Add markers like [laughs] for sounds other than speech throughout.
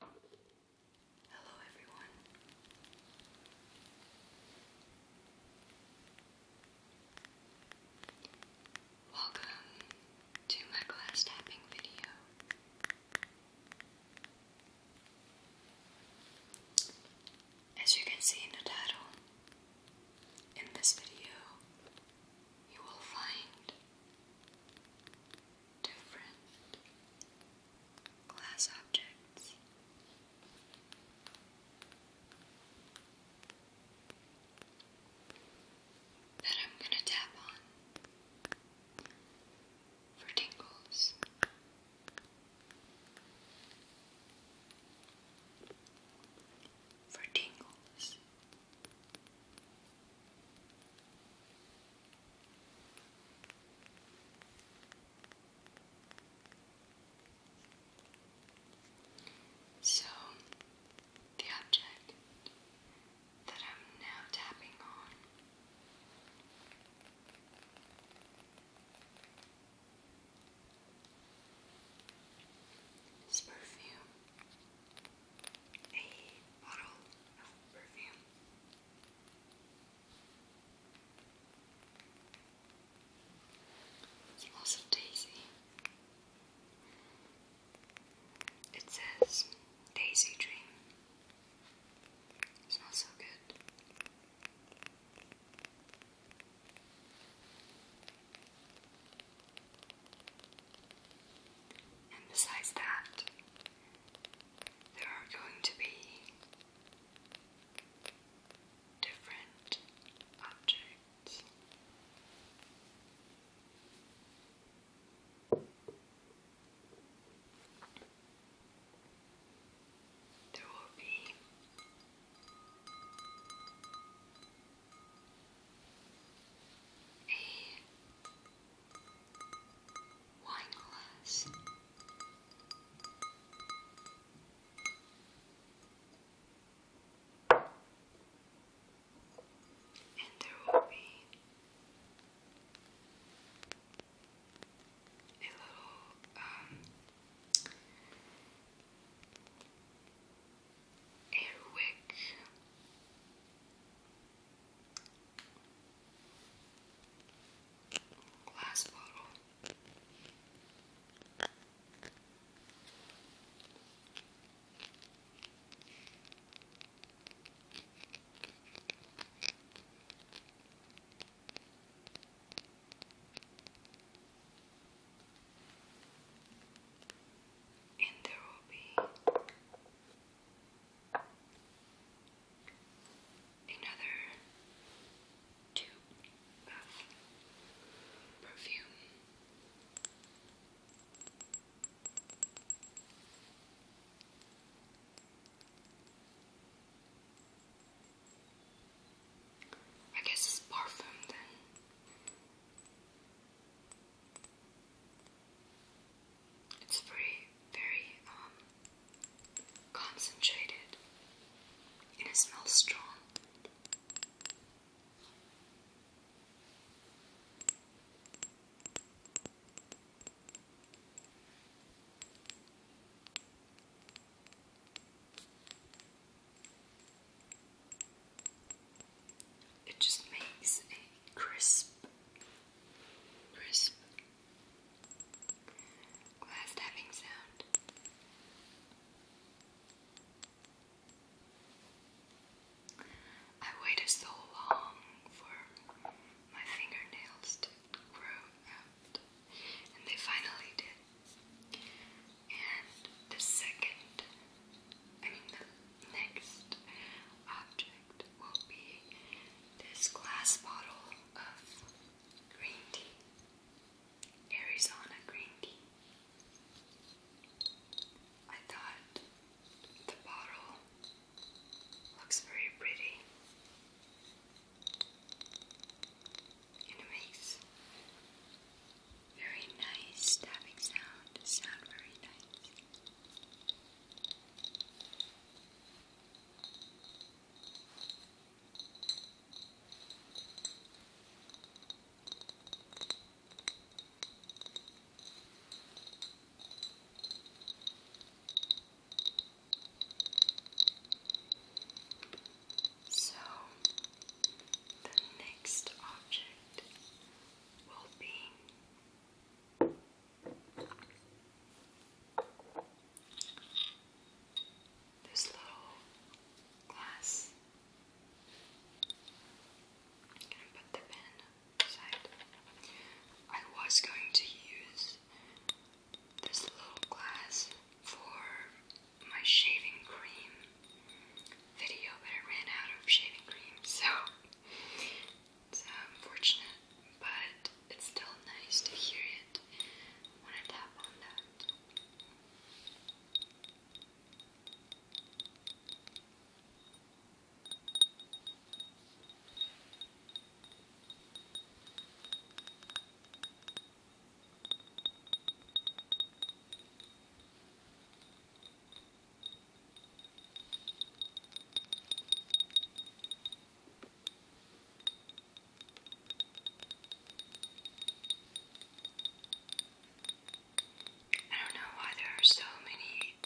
Hello, everyone. Welcome to my glass tapping video. As you can see in the title, in this video, you will find different glass objects. That I'm going to tap on for tingles. For tingles. So, the object that I'm now tapping on is perfume, a bottle of perfume. Smells of daisy. It says Daisy Dream. smells so good. And that, there are going to be different objects. There will be a wine glass. And there will be a little um, Glass bottle. And there will be another tube of perfume. I guess it's perfume then. It's very, very um, concentrated and it smells strong. It just makes a crisp, crisp Glass tapping sound. I waited so long for my fingernails to grow out, and they finally did. And the second, I mean, the next object will be this glass bottle of green tea, Arizona green tea. I thought the bottle looks very pretty and it makes very nice tapping sound, sound very nice. So the next object will be this little glass. I I was going to use this little glass for my shaving cream video, but I ran out of shaving cream, so it's unfortunate, but it's still nice to hear it when I tap on that. I don't know why there are so many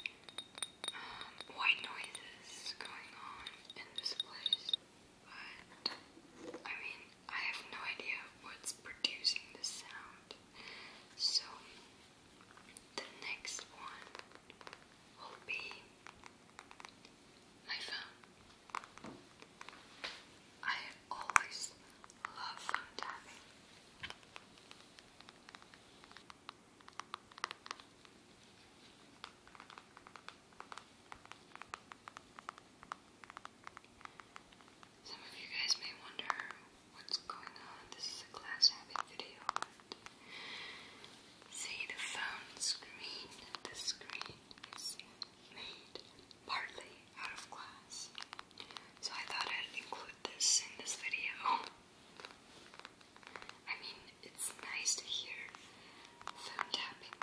um, white noises going on in this place, but I mean, I have no idea what's producing the sound. So, the next one will be my phone. I always love phone Some of you guys may wonder what's going on. This is a class habit video, See the phone screen, the screen is made partly out of glass. So I thought I'd include this in this video. [laughs] I mean, it's nice to hear phone tapping.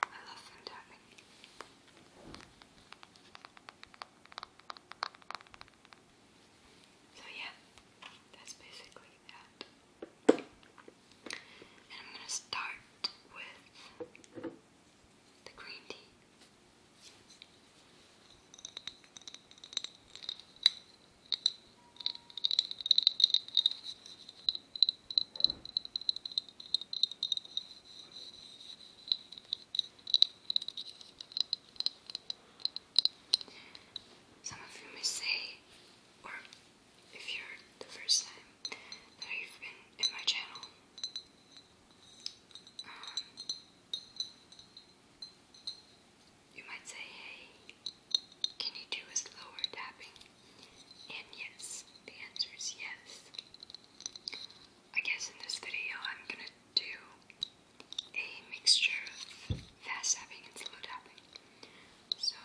I love phone tapping. So, yeah, that's basically and I'm going to start with the green tea. Some of you may say, or if you're the first time that you've been in my channel. Um, you might say, hey, can you do a slower tapping? And yes, the answer is yes. I guess in this video I'm gonna do a mixture of fast tapping and slow tapping. So,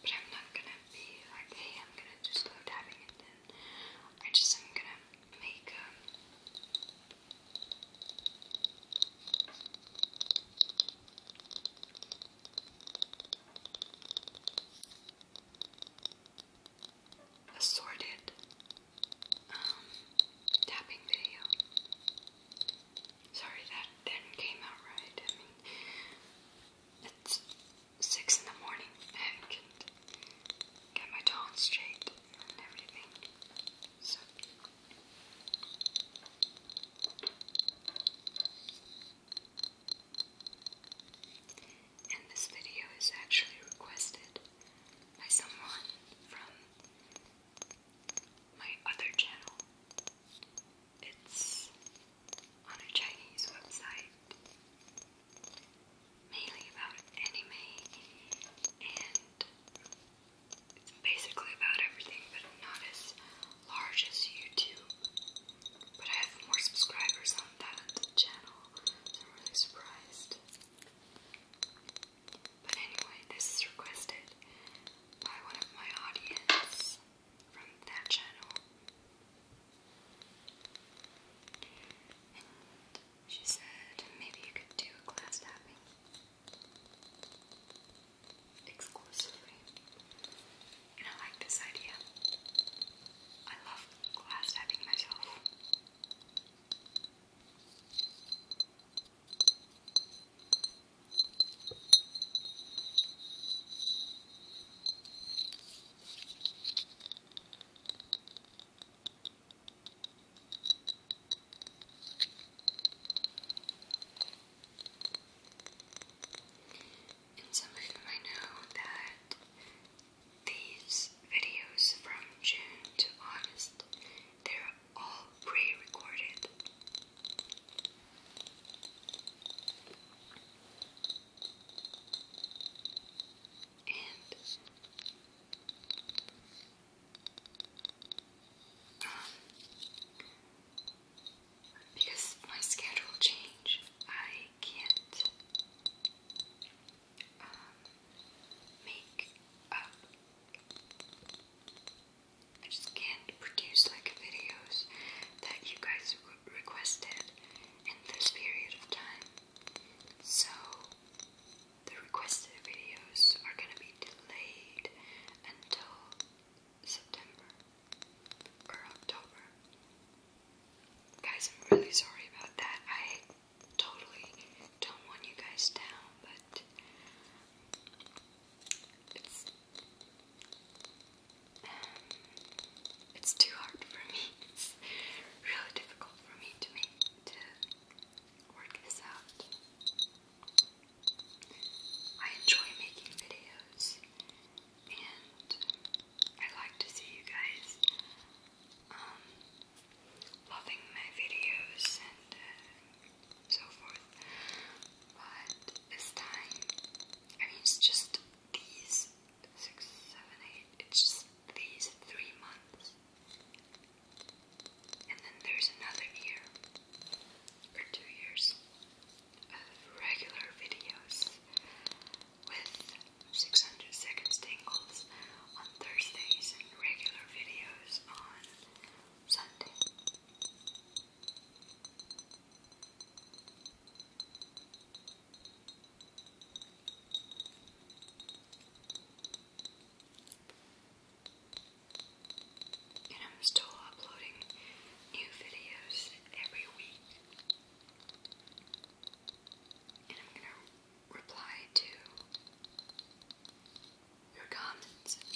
but I'm not gonna be like, hey, I'm gonna do slow tapping and then I just am gonna make um, assorted um, tapping video Sorry that didn't came out right. I mean, it's six in the morning and get my tone straight and everything. So. And this video is actually requested by someone from my other channel. It's on a Chinese website, mainly about anime, and it's basically about everything, but not as large as YouTube. But I have more subscribers on that channel, I'm really surprised. But anyway, this is requested by one of my audience from that channel. And she said maybe you could do glass tapping exclusively. And I like this idea. I love glass tapping myself. And some of you know that these videos from June to August, they're all pre-recorded. And um, because my schedule change, I can't um, make up I just can't produce like videos that you guys requested in this period of time. So the requested videos are gonna be delayed until September or October. Guys, I'm really sorry about that. I totally don't want you guys down, but it's um, it's too hard for me. [laughs] It's really difficult for me to make to work this out. I enjoy making videos and I like to see you guys um, loving my videos and uh, so forth. But this time. I mean, it's just these six, seven, eight. It's just these three months, and then there's another year or two years of regular videos with 600 seconds tingles on Thursdays and regular videos on Sunday. And I'm still uploading new videos every week. And I'm going to reply to your comments and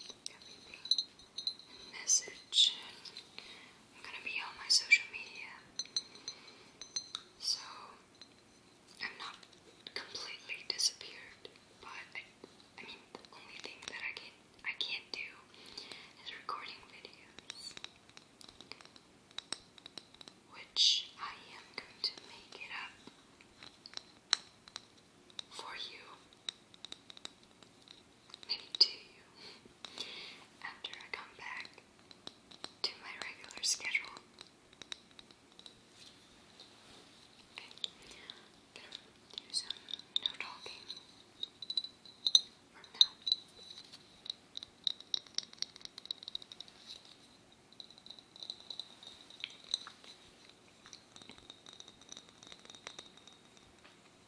message I'm gonna be on my social media. So I'm not completely disappeared, but I, mean the only thing that I can I can't do is recording videos. Which I am going to make it up for you maybe you. after I come back to my regular schedule. Okay, gonna do some no talking from now.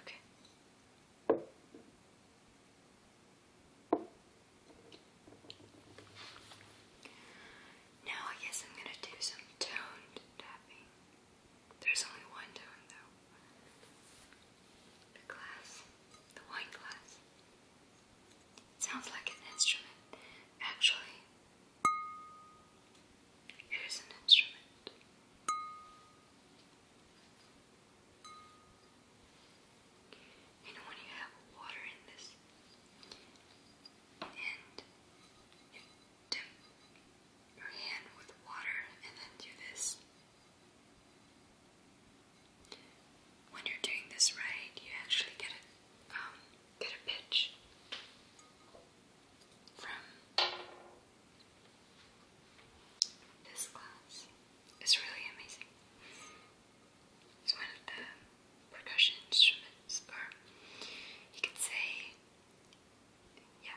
Okay. Now I guess I'm going to do some toned tapping. There's only one tone though the glass, the wine glass. It sounds like an instrument. Actually, it is an instrument. You know when you have water in this and you dip your hand with water and then do this. When you're doing this right, you actually get a um, get a pitch from this glass. It's really amazing. It's one of the percussion instruments, or you could say, yeah,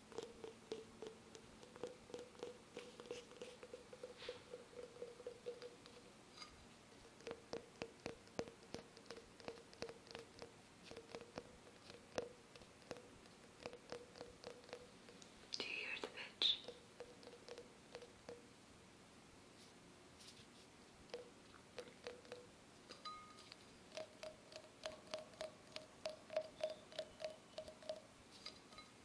Do you hear the pitch?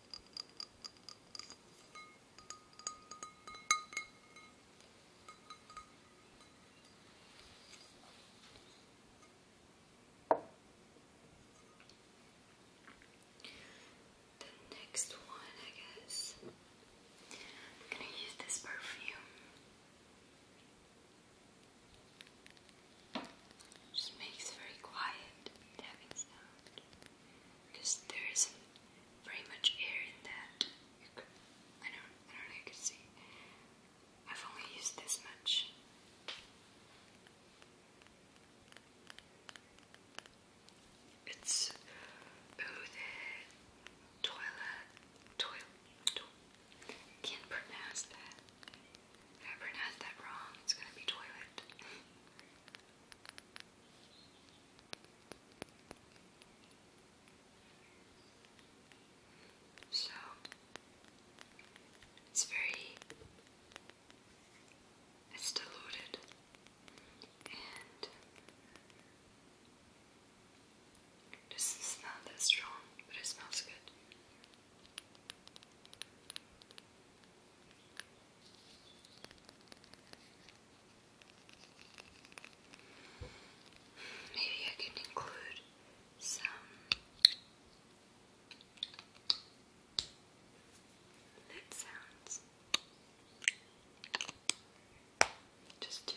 The next one, I guess, I'm gonna use this perfume. Just makes very quiet because there isn't very much air in that. I don't, I don't know you can see. I've only used this much. It's oh toilet to can't pronounce that. If I pronounce that wrong, it's gonna be toilet. [laughs] So it's very it's diluted and this is not that strong, but it smells good. Maybe I can include some lid sounds. Just two.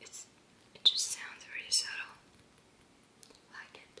It's it just sounds very subtle. Like it.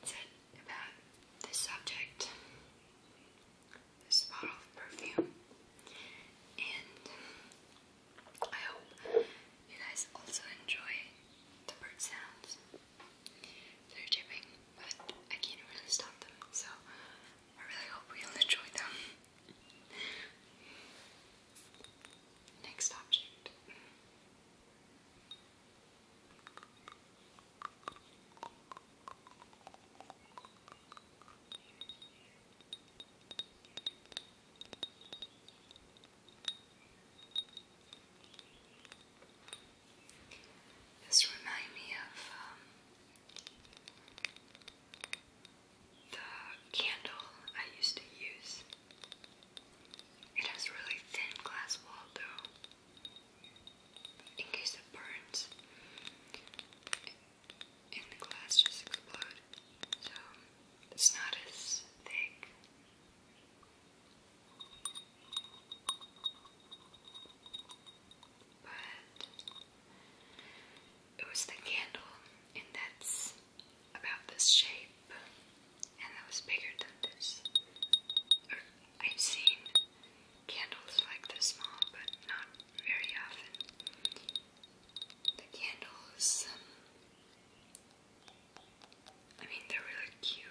That's it about this subject, this bottle of perfume, and I hope you guys also enjoy the bird sounds. They're chipping, but I can't really stop them, so I really hope we all enjoy them. Next object. This reminds me of um, the candle I used to use. It has really thin glass wall though, in case it burns and the glass just explode. So it's not as thick. But it was the candle, and that's about this shape, and that was bigger than this. I've seen candles like this small, but not very often. The candles, um, I mean, they're really cute.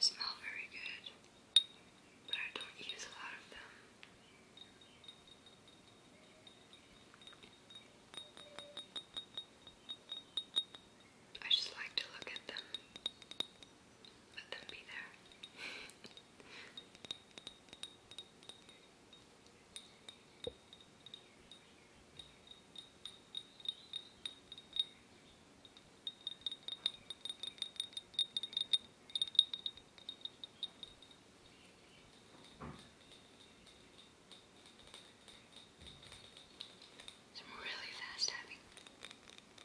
smell very good, but I don't use a lot of them. I just like to look at them, let them be there. Some really fast tapping. Now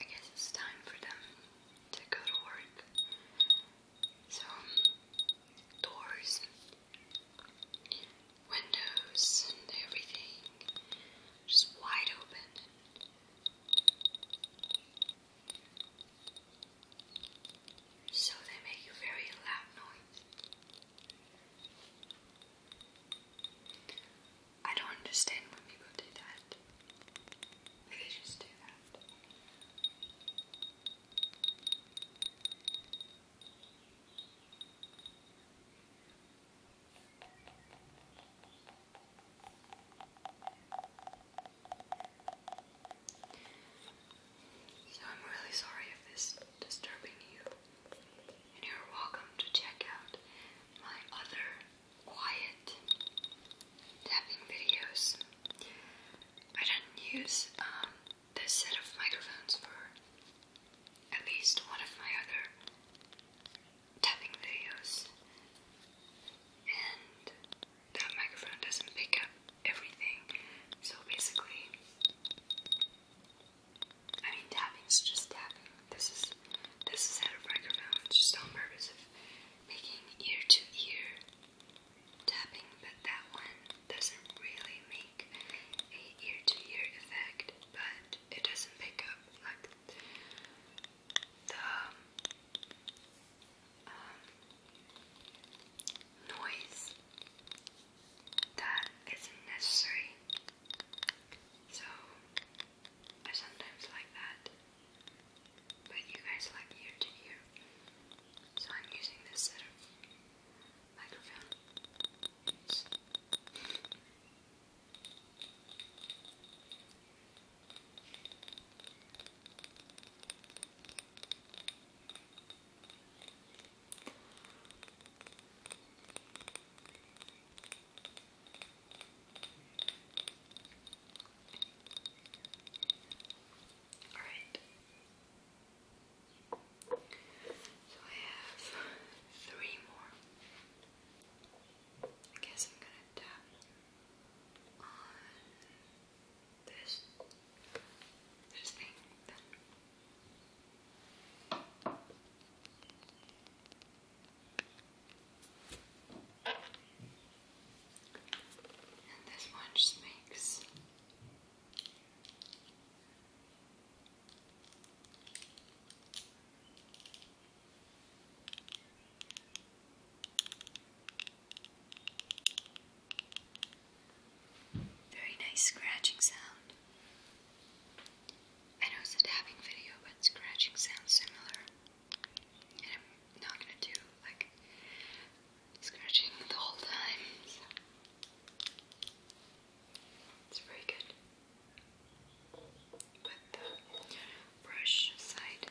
I guess it's time for them to go to work. So, um, doors, windows, and everything just wide open. So they make a very loud noise. I don't understand when people do that. They just do that. So I'm really sorry if this is disturbing you. And you're welcome to check out my other quiet tapping videos. I didn't use um, this set of microphones for at least one of my other tapping videos. And that microphone doesn't pick up everything. So basically, I mean tapping's just tapping. This is this is out of microphone, it's just on making ear to ear tapping, but that one doesn't really make a ear to ear effect, but it doesn't pick up like the um, um, noise that isn't necessary. So I sometimes like that, but you guys like ear to ear. So I'm using this microphone. All right. So I have three more. I guess I'm gonna tap on this, this thing And this one just makes very nice scratching sound. I know it's a tapping video, but scratching sounds similar. And I'm not gonna do like scratching the whole time. It's very good. But brush side.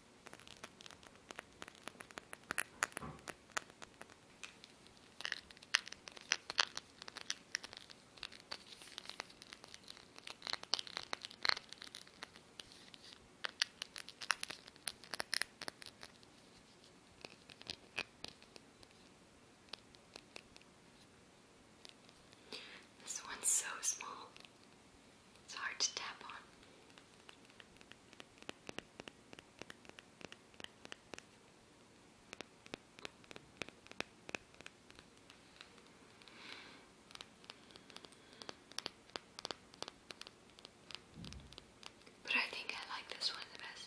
This one's so small. It's hard to tap on. But I think I like this one the best.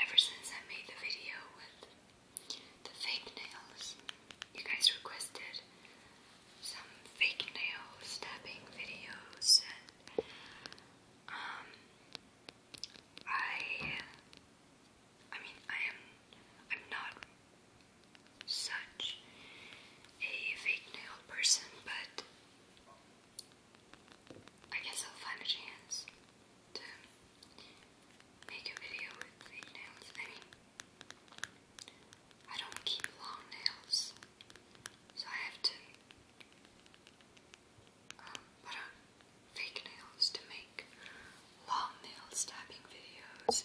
Ever since I made the video with the fake nails, you guys requested some fake nail stabbing videos and um, I I mean I am I'm not such a fake nail person, but I guess I'll find a chance to make a video with fake nails. I mean I don't keep long nails, so I have to um, on fake nails to make long nail stabbing videos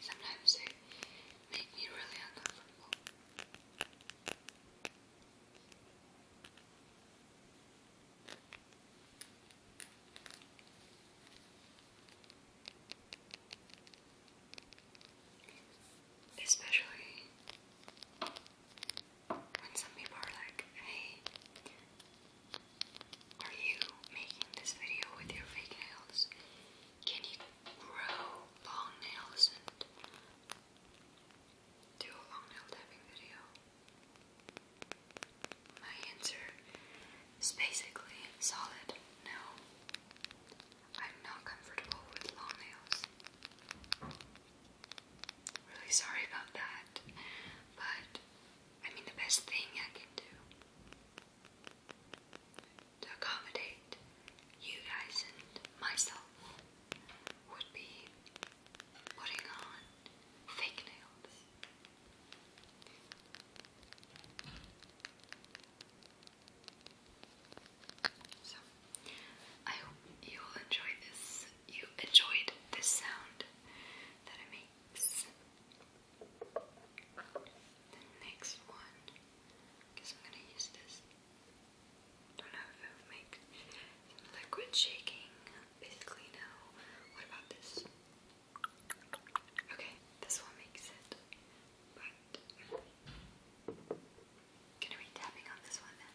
Sometimes they make me really uncomfortable. Especially when some people are like, hey, are you making this video with your fake nails? Can you grow long nails and do a long nail tapping video? My answer is basically solid no. I'm not comfortable with long nails. Really sorry about that, but I mean, the best thing I can do to accommodate you guys and myself would be putting on fake nails. So, I hope you will enjoy this. You enjoyed this sound that it makes. next one, because I'm gonna use this. Don't know if it will make liquid shaking basically know. What about this? Okay, this one makes it. But going tapping on this one then.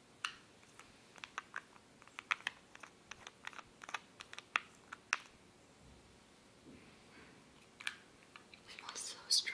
It smells so strong.